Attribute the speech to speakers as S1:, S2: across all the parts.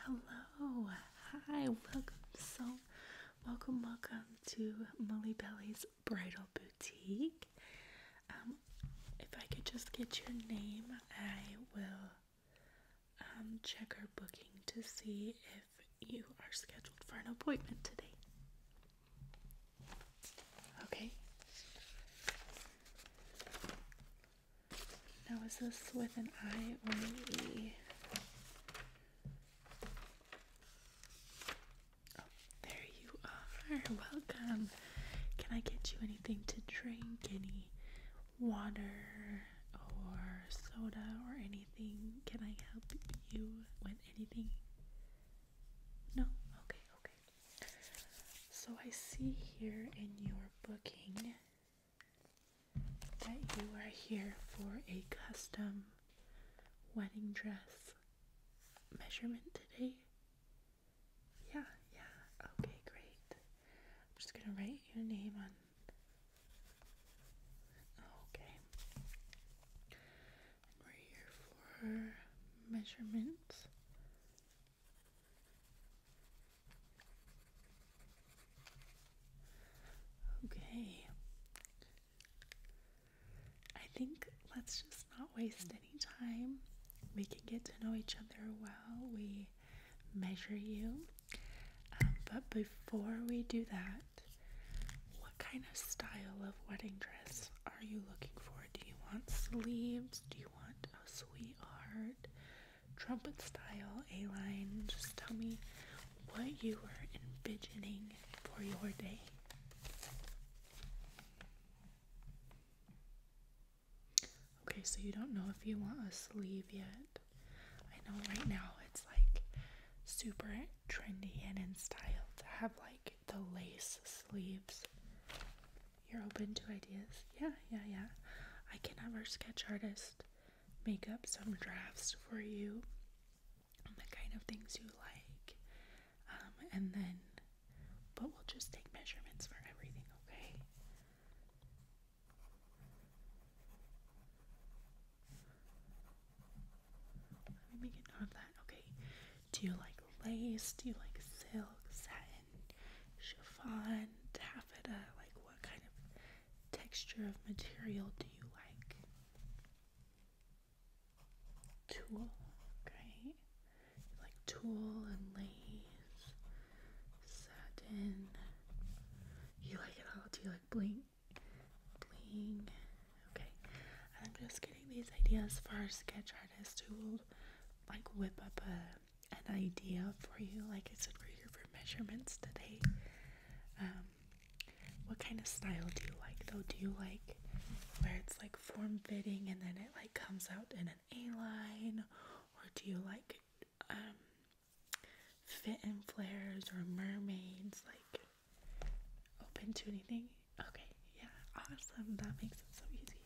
S1: Hello, hi, welcome. So, welcome, welcome to Molly Belly's Bridal Boutique. Um, if I could just get your name, I will um, check our booking to see if you are scheduled for an appointment today. Okay. Now is this with an I or an E? Oh, there you are. Welcome. Can I get you anything to drink? Any water or soda or anything? Can I help you with anything? No? Okay, okay. So I see here in your booking that you are here for a custom wedding dress measurement today? Yeah, yeah. Okay, great. I'm just going to write your name on. Okay. we're here for measurements. Okay. I think let's just not waste any time. We can get to know each other while we measure you. Um, but before we do that, what kind of style of wedding dress are you looking for? Do you want sleeves? Do you want a sweetheart? trumpet style, A line. Just tell me what you were envisioning for your day. Okay, so you don't know if you want a sleeve yet. I know right now it's like super trendy and in style to have like the lace sleeves. You're open to ideas? Yeah, yeah, yeah. I can have our sketch artist make up some drafts for you the kind of things you like. Um, and then, but we'll just take measurements for everything, okay? Let me make a of that. Okay. Do you like lace? Do you like silk, satin, chiffon, taffeta? Like what kind of texture of material do you like? Tulle, great. like tulle and lace, satin. You like it all. Do you like bling? Bling. Okay. I'm just getting these ideas for sketch artist who will like whip up a an idea for you. Like I said, we're here for measurements today. Um, what kind of style do you like though? Do you like where it's like form fitting and then it like comes out in an A line? Or do you like um, fit and flares or mermaids? Like open to anything? Okay, yeah, awesome. That makes it so easy.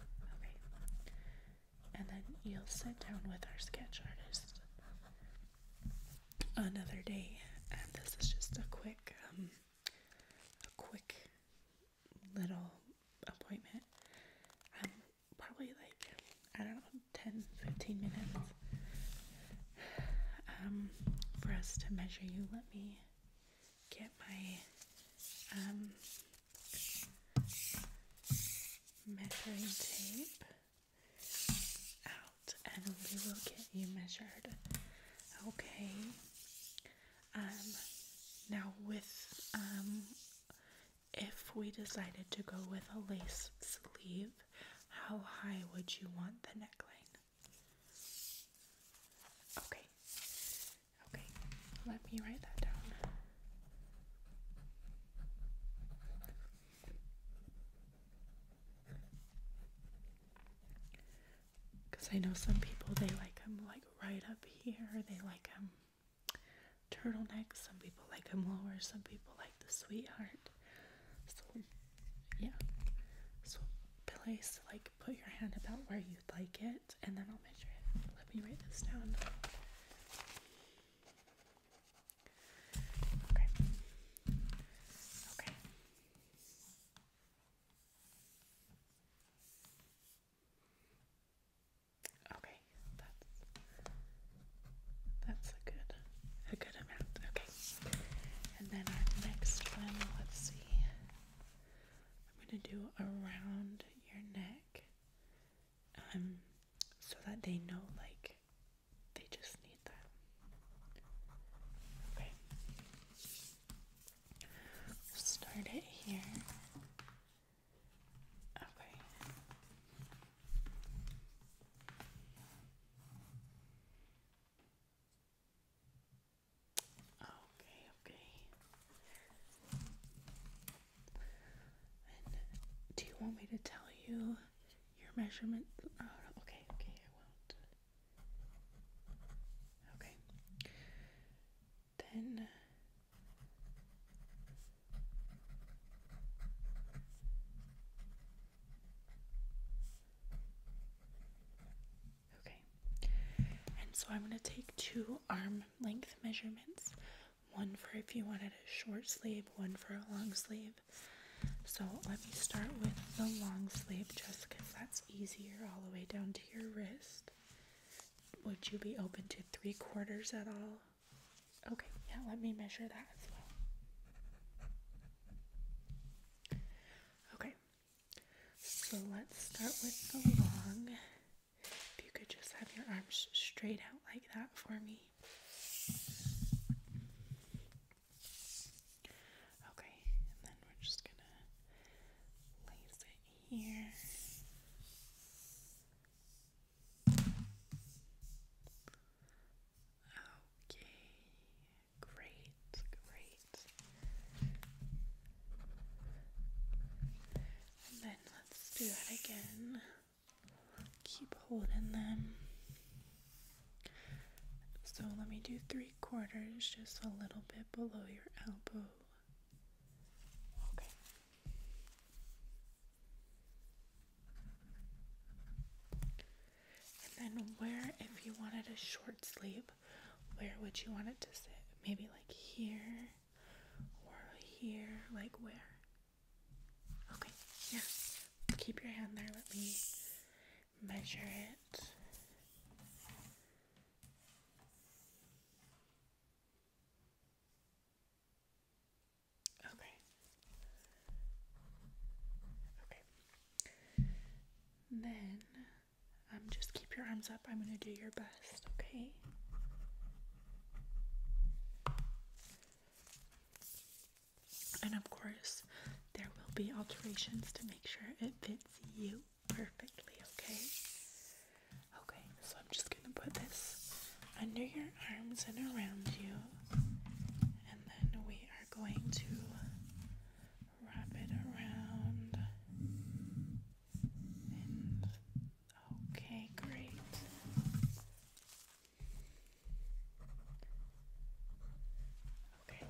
S1: Okay, and then you'll sit down with our sketch artist another day. And this is just a quick, um, a quick little appointment. Um, probably like I don't know, 10 15 minutes. Um, for us to measure you, let me get my um, measuring tape out and we will get you measured. Okay. Um now with um if we decided to go with a lace sleeve, how high would you want the neckline? Okay. Okay. Let me write that down. Because I know some people they like them like right up here, they like them turtleneck, some people like them lower, some people like the sweetheart. So, yeah. So, place like put your hand about where you'd like it, and then I'll measure it. Let me write this down. Okay. Okay. Okay, that's that's a good a good amount. Okay. And then our next one, let's see. I'm gonna do around your neck. Um so that they know like they just need that. Okay. Start it here. Okay. Okay, okay do you want me to tell you your measurement? Oh, okay, okay, I won't. Okay. Then uh, Okay. And so I'm going to take two arm length measurements one for if you wanted a short sleeve, one for a long sleeve. So let me start with the long sleeve just because that's easier all the way down to your wrist. Would you be open to three quarters at all? Okay, yeah, let me measure that as well. Okay, so let's start with the long. If you could just have your arms straight out like that for me. Okay, and then we're just gonna place it here. Okay, great, great. then let's do that again keep holding them. So let me do three quarters, just a little bit below your elbow. Okay. And then where, if you wanted a short sleeve, where would you want it to sit? Maybe like here or here, like where? Okay, yeah. Keep your hand there. Let me measure it. Okay. Okay. Then, um, just keep your arms up. I'm gonna do your best, okay? And of course, there will be alterations to make sure it fits you perfectly, okay? Okay, so I'm just gonna put this under your arms and around you, and then we are going to wrap it around Okay, great. Okay.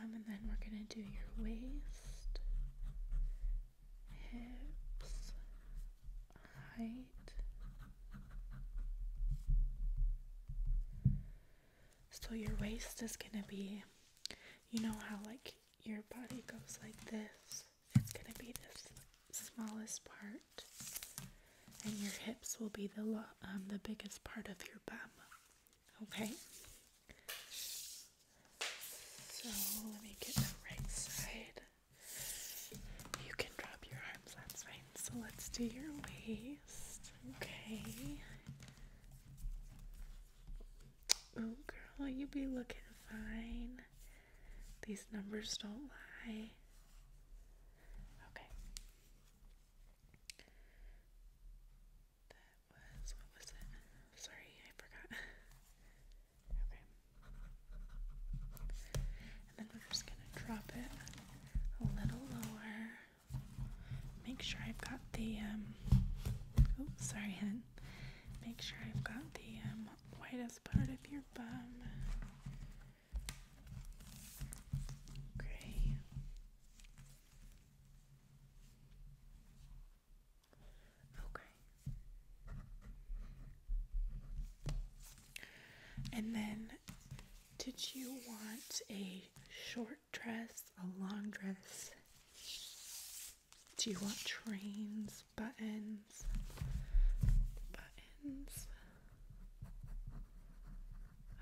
S1: Um, and then we're going to do your waist, hips, height. So your waist is going to be, you know how like your body goes like this. It's going to be the smallest part, and your hips will be the um, the biggest part of your bum. Okay. So let me get the right side. You can drop your arms. That's fine. So let's do your waist. Okay. Oh, girl, you will be looking fine. These numbers don't lie. Okay. That was, what was it? Sorry, I forgot. okay. And then we're just going to drop it a little lower. Make sure I've got the, um, oops, sorry, hen. Make sure I've got the, um, whitest part of your bum. Okay. Okay. And then, did you want a short dress, a long dress? Do you want trains, buttons, buttons,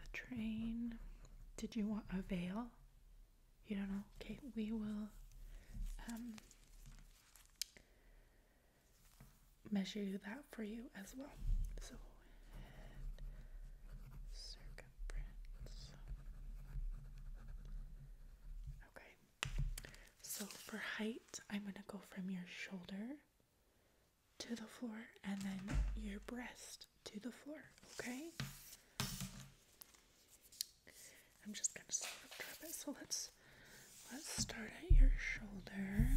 S1: a train? Did you want a veil? You don't know? Okay, we will um, measure that for you as well. So circumference. Okay, so for height, I'm going to go from your shoulder to the floor and then your breast to the floor, okay? I'm just going to sort of it. So let's let's start at your shoulder.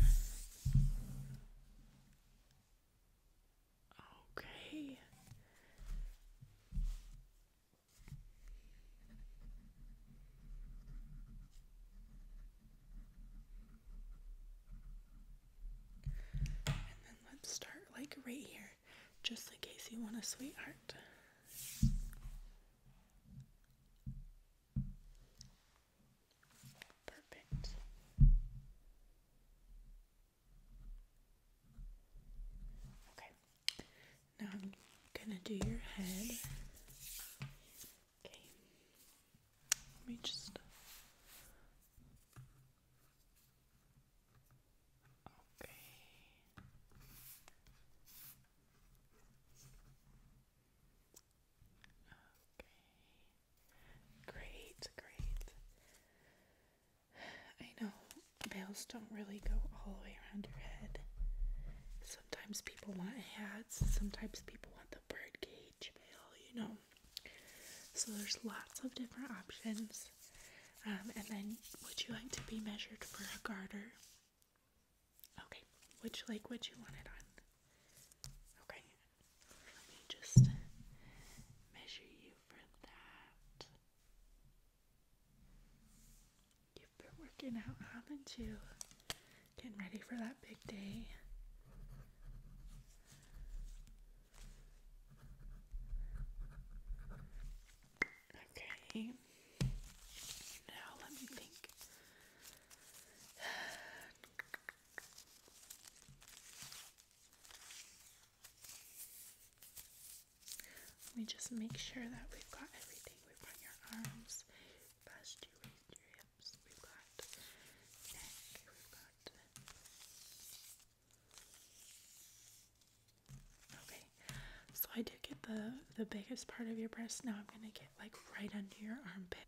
S1: Okay. And then let's start like right here, just in case you want a sweetheart. Perfect. Okay. Now I'm gonna do your head. Okay. Let me just. Okay. Okay. Great, great. I know veils don't really go all the way around your head. Sometimes people want hats, sometimes people want the bird cage mail, you know. So there's lots of different options. Um, and then, would you like to be measured for a garter? Okay, which leg would you want it on? Okay, let me just measure you for that. You've been working out, haven't you? Getting ready for that big day. Okay. Now let me think. Let me just make sure that we've got everything. We've got your arms, past your your hips. We've got neck. We've got. Okay, so I did get the the biggest part of your breast. Now I'm gonna get like right under your armpit.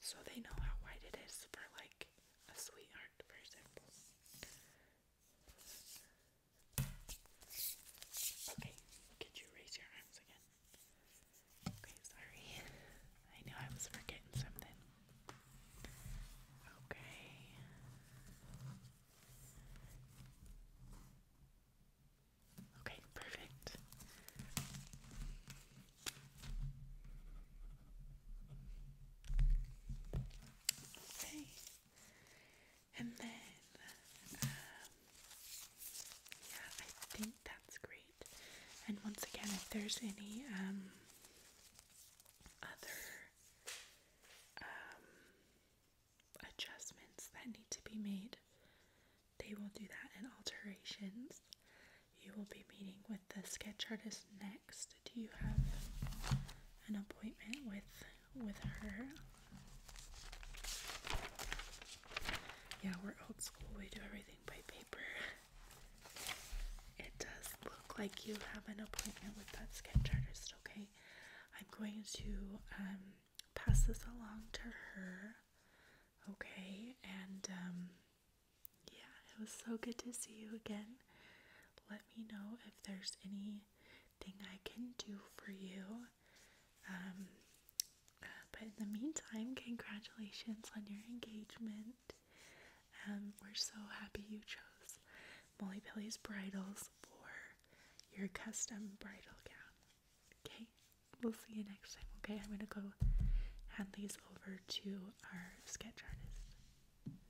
S1: So they know how wide it is for like a sweetheart, for example. Okay, could you raise your arms again? Okay, sorry. I knew I was forgetting something. Okay. Okay, perfect. Okay. And then, um, yeah, I think that's great. And once again, if there's any um, other um, adjustments that need to be made, they will do that in alterations. You will be meeting with the sketch artist next do you have an appointment with with her? Yeah, we're old school. We do everything by paper. It does look like you have an appointment with that skin chartist. okay? I'm going to um, pass this along to her, okay? And um, yeah, it was so good to see you again. Let me know if there's anything I can do for you. Um, but in the meantime, congratulations on your engagement. Um, we're so happy you chose Molly Pilly's Bridals for your custom bridal gown. Okay, we'll see you next time. Okay, I'm gonna go hand these over to our sketch artist.